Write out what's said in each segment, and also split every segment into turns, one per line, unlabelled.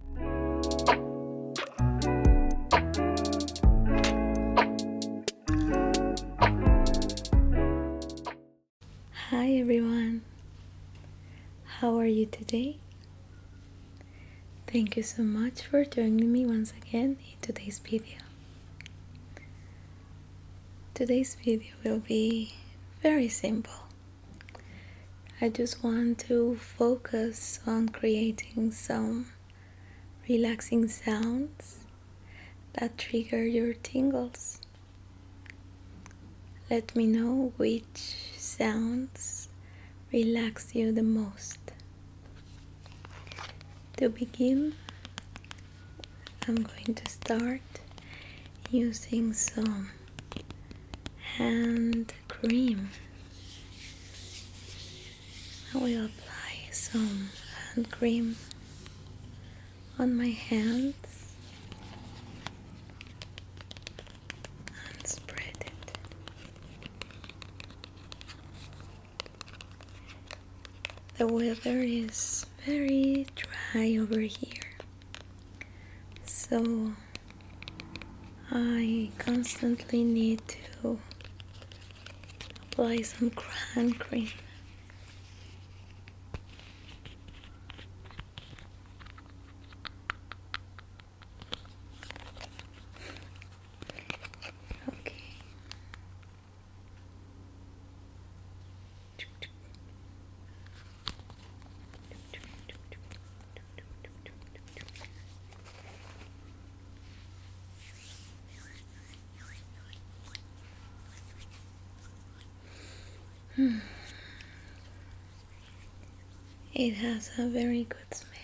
Hi everyone, how are you today? Thank you so much for joining me once again in today's video. Today's video will be very simple I just want to focus on creating some relaxing sounds that trigger your tingles. Let me know which sounds relax you the most. To begin, I'm going to start using some Hand cream. I will apply some hand cream on my hands and spread it. The weather is very dry over here, so I constantly need to apply some hand cream. Okay. Hmm. It has a very good smell.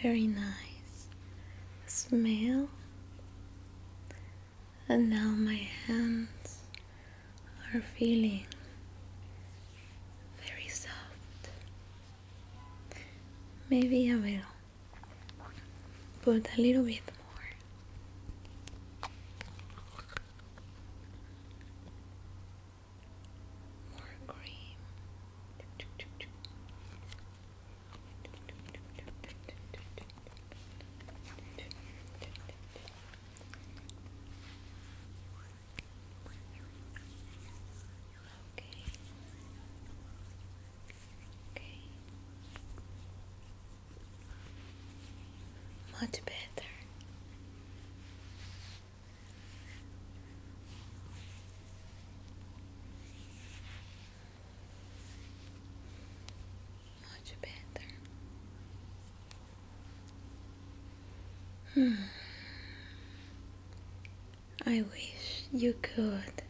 Very nice smell and now my hands are feeling very soft. Maybe I will put a little bit more. More cream. Okay. Okay. Much better much better. Hmm. I wish you could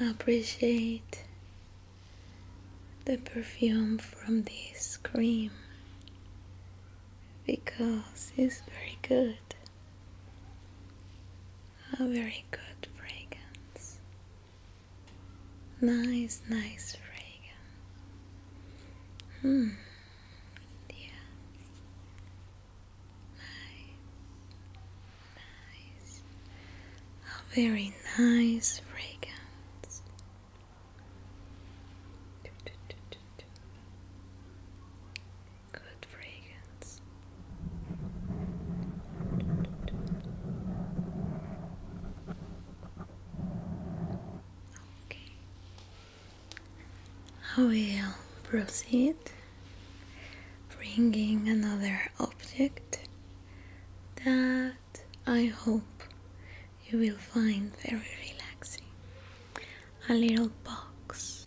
appreciate the perfume from this cream because it's very good. A very good fragrance. Nice, nice fragrance. Hmm. Yeah. Nice. Nice. A very nice fragrance. Good fragrance. I will proceed bringing another object that I hope you will find very relaxing. A little box.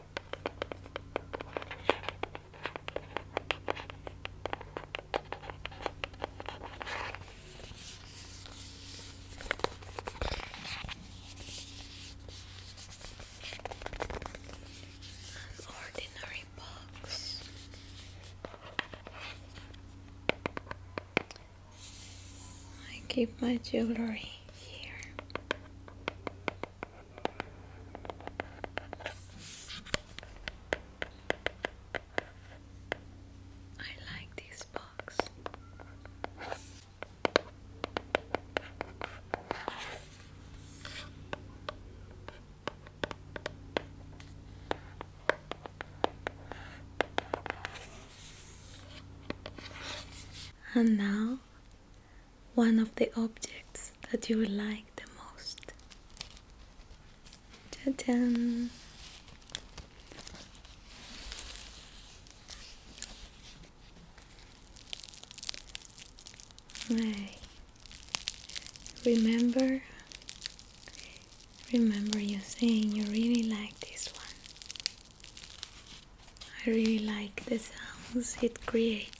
ordinary box. I keep my jewelry here. I like this box. And now one of the objects that you will like the most. Ta -da! Hey. Remember remember you saying you really like this one. I really like the sounds it creates.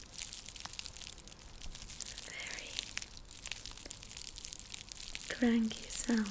very cranky sound.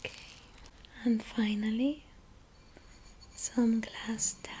Okay, and finally, some glass tapping.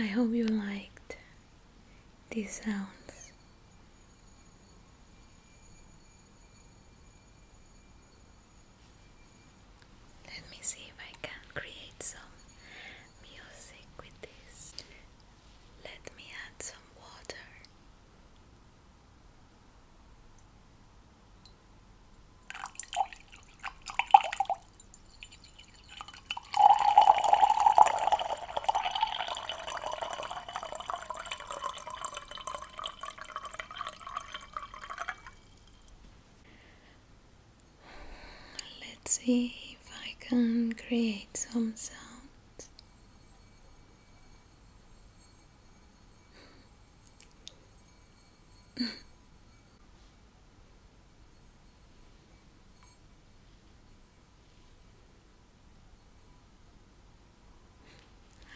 I hope you liked these sounds. Let me see if I can create some music with this. Let me add some water. Let's see if I can create some sounds.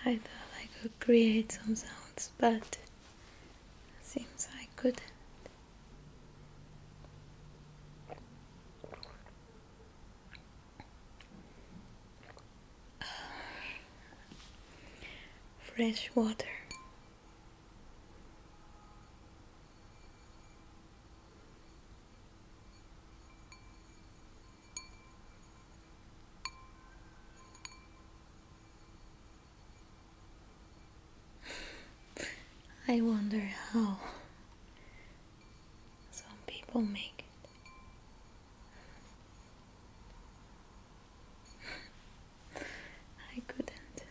I thought I could create some sounds, but seems I couldn't fresh water. I wonder how some people make it. I couldn't.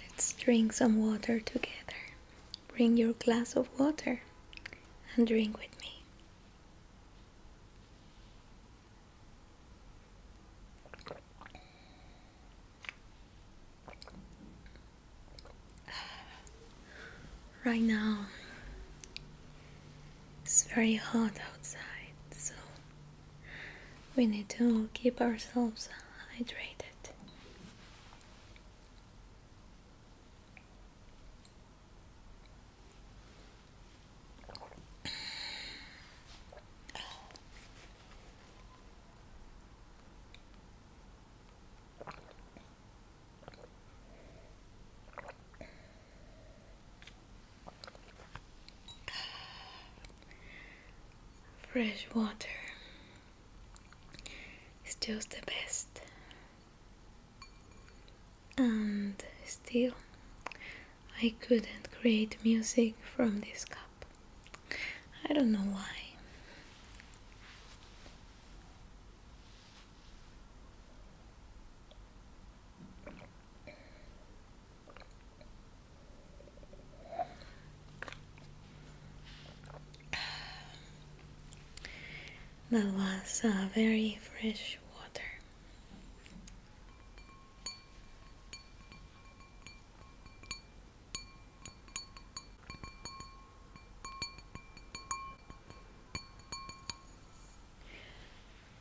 Let's drink some water together. Bring your glass of water and drink with me. Right now, it's very hot outside, so we need to keep ourselves hydrated. Fresh water is just the best, and still, I couldn't create music from this cup. I don't know why. That was uh, very fresh water.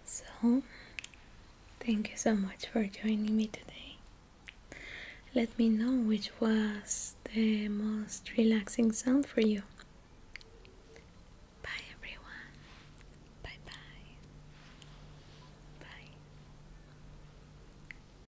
So, thank you so much for joining me today. Let me know which was the most relaxing sound for you. Bye, everyone. Bye bye. Bye.